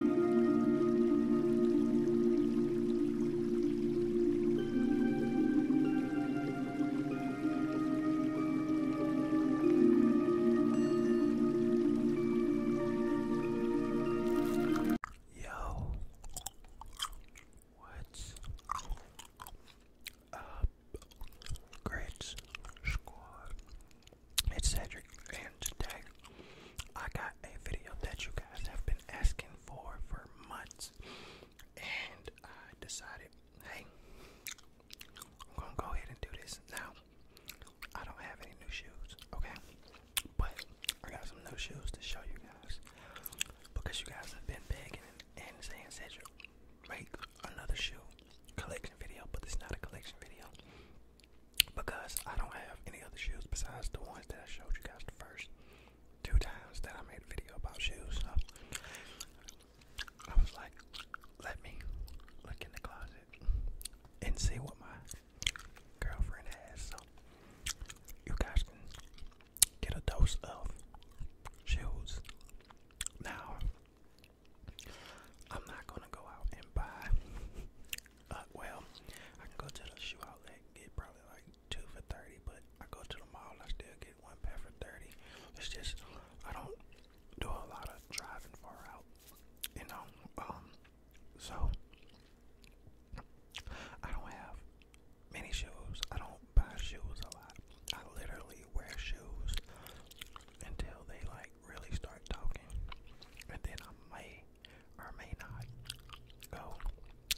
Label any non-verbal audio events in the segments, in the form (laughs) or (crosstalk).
Yo, what's up, great squad? It's Cedric, and today I got a video that you guys have been asking for for months, and I decided, hey, I'm gonna go ahead and do this now. I don't have any new shoes, okay? But I got some new shoes to show you guys because you guys have been begging and saying, Cedric, make another shoe collection video, but it's not a collection video because I don't have any other shoes besides the ones that I showed you guys the first two times that I made a video about shoes. I was like, let me look in the closet and see what my girlfriend has. So you guys can get a dose of shoes. Now, I'm not gonna go out and buy uh, well, I can go to the shoe outlet, get probably like two for thirty, but I go to the mall, I still get one pair for thirty. It's just I don't do a lot of driving far out, you know. Um, so I don't have many shoes. I don't buy shoes a lot. I literally wear shoes until they like really start talking, and then I may or may not go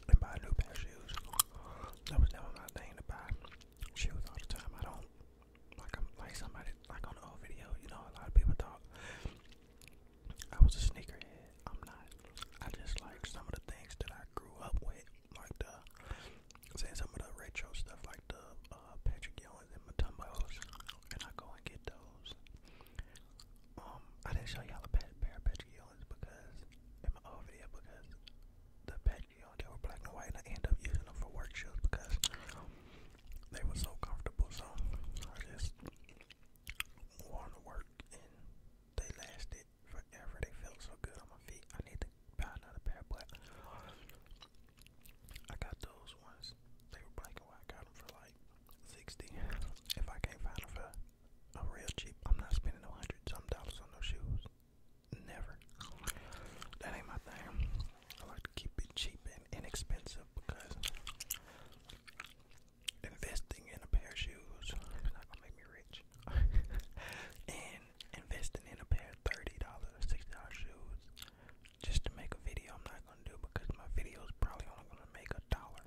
and buy new pair shoes. That was never my thing to buy shoes all the time. I don't like I'm like somebody like on the old video. You know, a lot of people thought I was a sneakerhead. I'm not. I just like some of the things that I grew up with, like the saying some of the retro stuff, like the uh, Patrick Young ones in my tumbos, and I go and get those. Um, I didn't show y'all a pair of Patreons because in my old video because the Patreons they were black and white, and I end up using them for work shoes because they were so comfortable. So I just wore them to work, and they lasted forever. They felt so good on my feet. I need to buy another pair, but I got those ones. They were black and white. I got them for like 60 If I can't find them for a real cheap, I'm not spending no hundred some dollars on those shoes. Never. That ain't my thing. I like to keep it cheap and inexpensive because investing in a pair of shoes is not gonna make me rich. (laughs) and investing in a pair of thirty dollar, sixty dollar shoes just to make a video I'm not gonna do because my video is probably only gonna make a dollar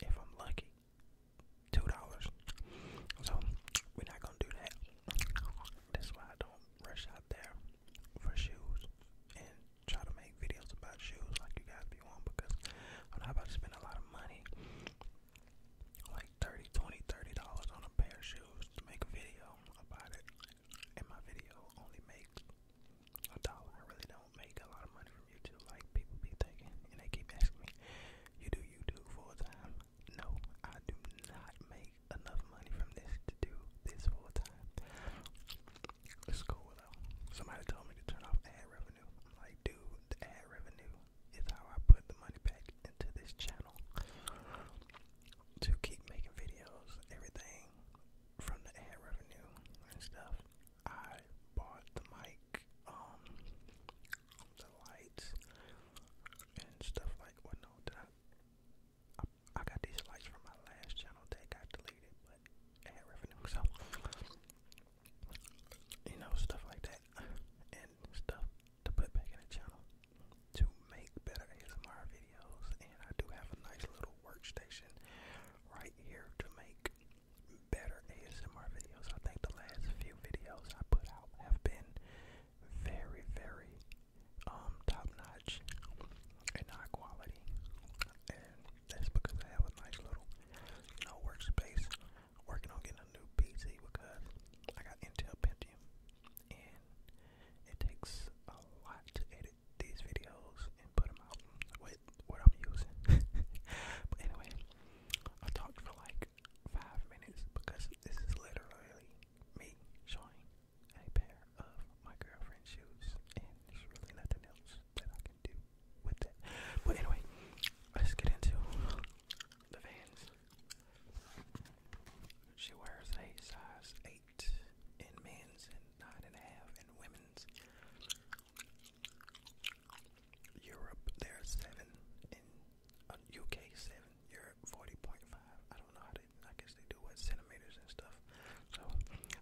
if I'm lucky. Two dollars. So we're not gonna do that. That's why I don't rush out there for shoes and try to make videos about shoes like you guys be on because I'm not about to spend a lot of money like 30 dollars on a pair of shoes to make a video about it and my video only makes a dollar. I really don't make a lot of money from YouTube like people be thinking, and they keep asking me, you do you do full time? No, I do not make enough money from this to do this full time. It's cool though. Somebody told me to turn off ad revenue. I'm like, dude, the ad revenue is how I put the money back into this channel to keep making videos. Everything from the ad revenue and stuff. I bought the mic, um, the lights and stuff like what I got these lights from my last channel that got deleted but ad revenue so you know stuff like that and stuff to put back in the channel to make better ASMR videos, and I do have a nice little workstation right here to make better ASMR videos. I think the last few videos I put out have been very, very um top-notch and high quality, and that's because I have a nice little, you know, workspace. Working on getting a new PC because I got Intel Pentium, and it takes a lot to edit these videos and put them out with what I'm using. (laughs) but anyway, I talked for like five minutes because this is literally me showing a pair of my girlfriend's shoes, and there's really nothing else that I can do with that. But anyway, let's get into the Vans. She wears a size 8 eight in men's and nine and a half in women's. Europe, there are seven in uh, UK, seven. Europe, forty point five. I don't know how they. I guess they do what centimeters and stuff. So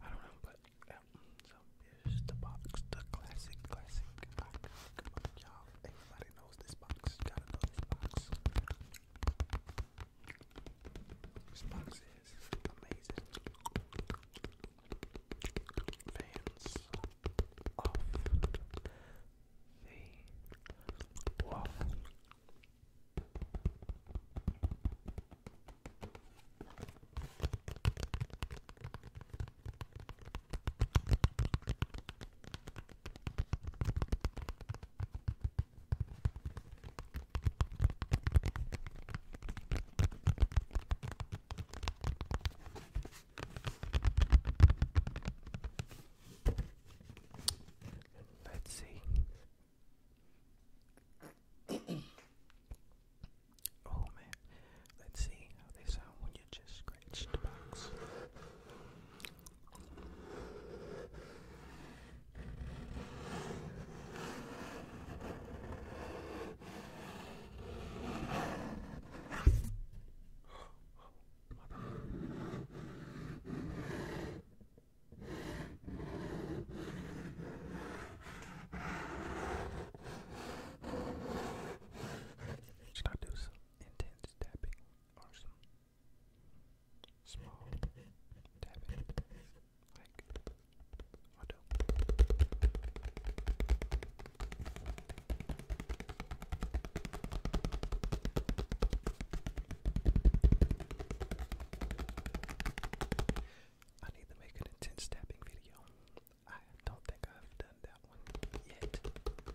I don't know, but yeah. So here's the box, the classic, classic box. Come on, y'all. Everybody knows this box. You gotta know this box. Xbox is amazing. Fans of the waffle. Hello, Let's see. oh man, let's see how they sound when you just scratch the box. Should I do some intense tapping or some small tapping, like I need to make an intense tapping video. I don't think I've done that one yet.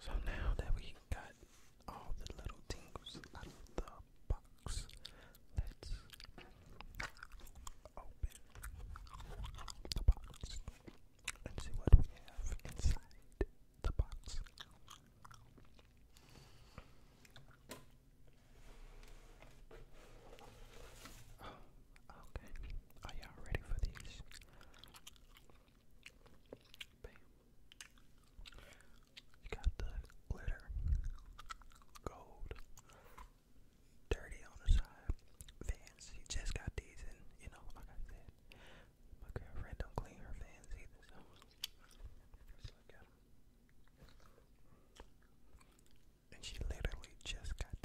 So now that we got all the little tingles out of the box, let's open the box and see what we have inside the box. Oh, okay. Are y'all ready for these? Bam. You got the glitter, gold, dirty on the side, Vans. He just got these, and you know, like I said, my girlfriend don't clean her Vans either, so look at them. And she literally just got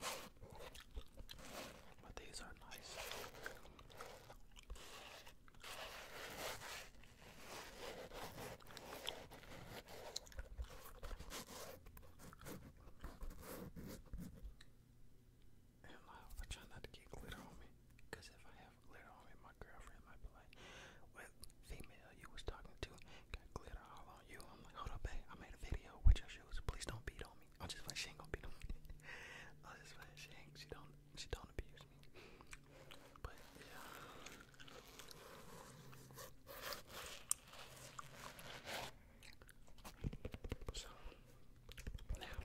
But these are nice. And I, try not to get glitter on me, because if I have glitter on me, my girlfriend might be with female you was talking to got glitter all on you. I'm like, hold up, babe. I made a video with your shoes. Please don't beat on me. I'm just like, she ain't gonna beat on me. (laughs) I'm just like, she don't, she don't abuse me. But yeah. So now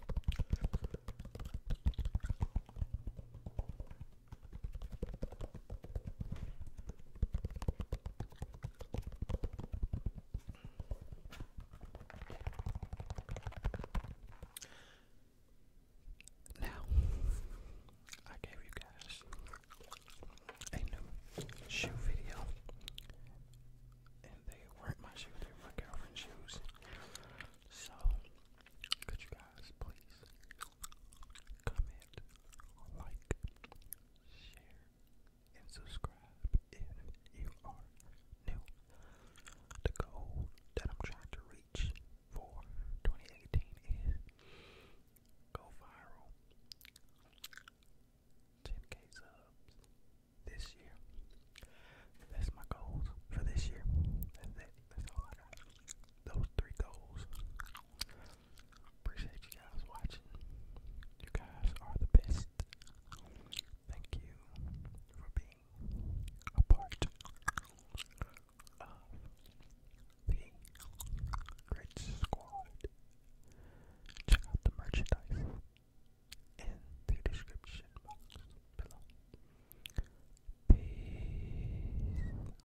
now, I gave you guys a new shoe video, and they weren't my shoes, they were my girlfriend's shoes. So, could you guys please comment like, share, and subscribe if you are new. The goal that I'm trying to reach for 2018 is go viral. 10k subs this year. That's my goals for this year. That's it. That's all I got. Those three goals. Appreciate you guys watching. You guys are the best. Thank you for being a part of the Great Squad. Check out the merchandise in the description box below. Peace.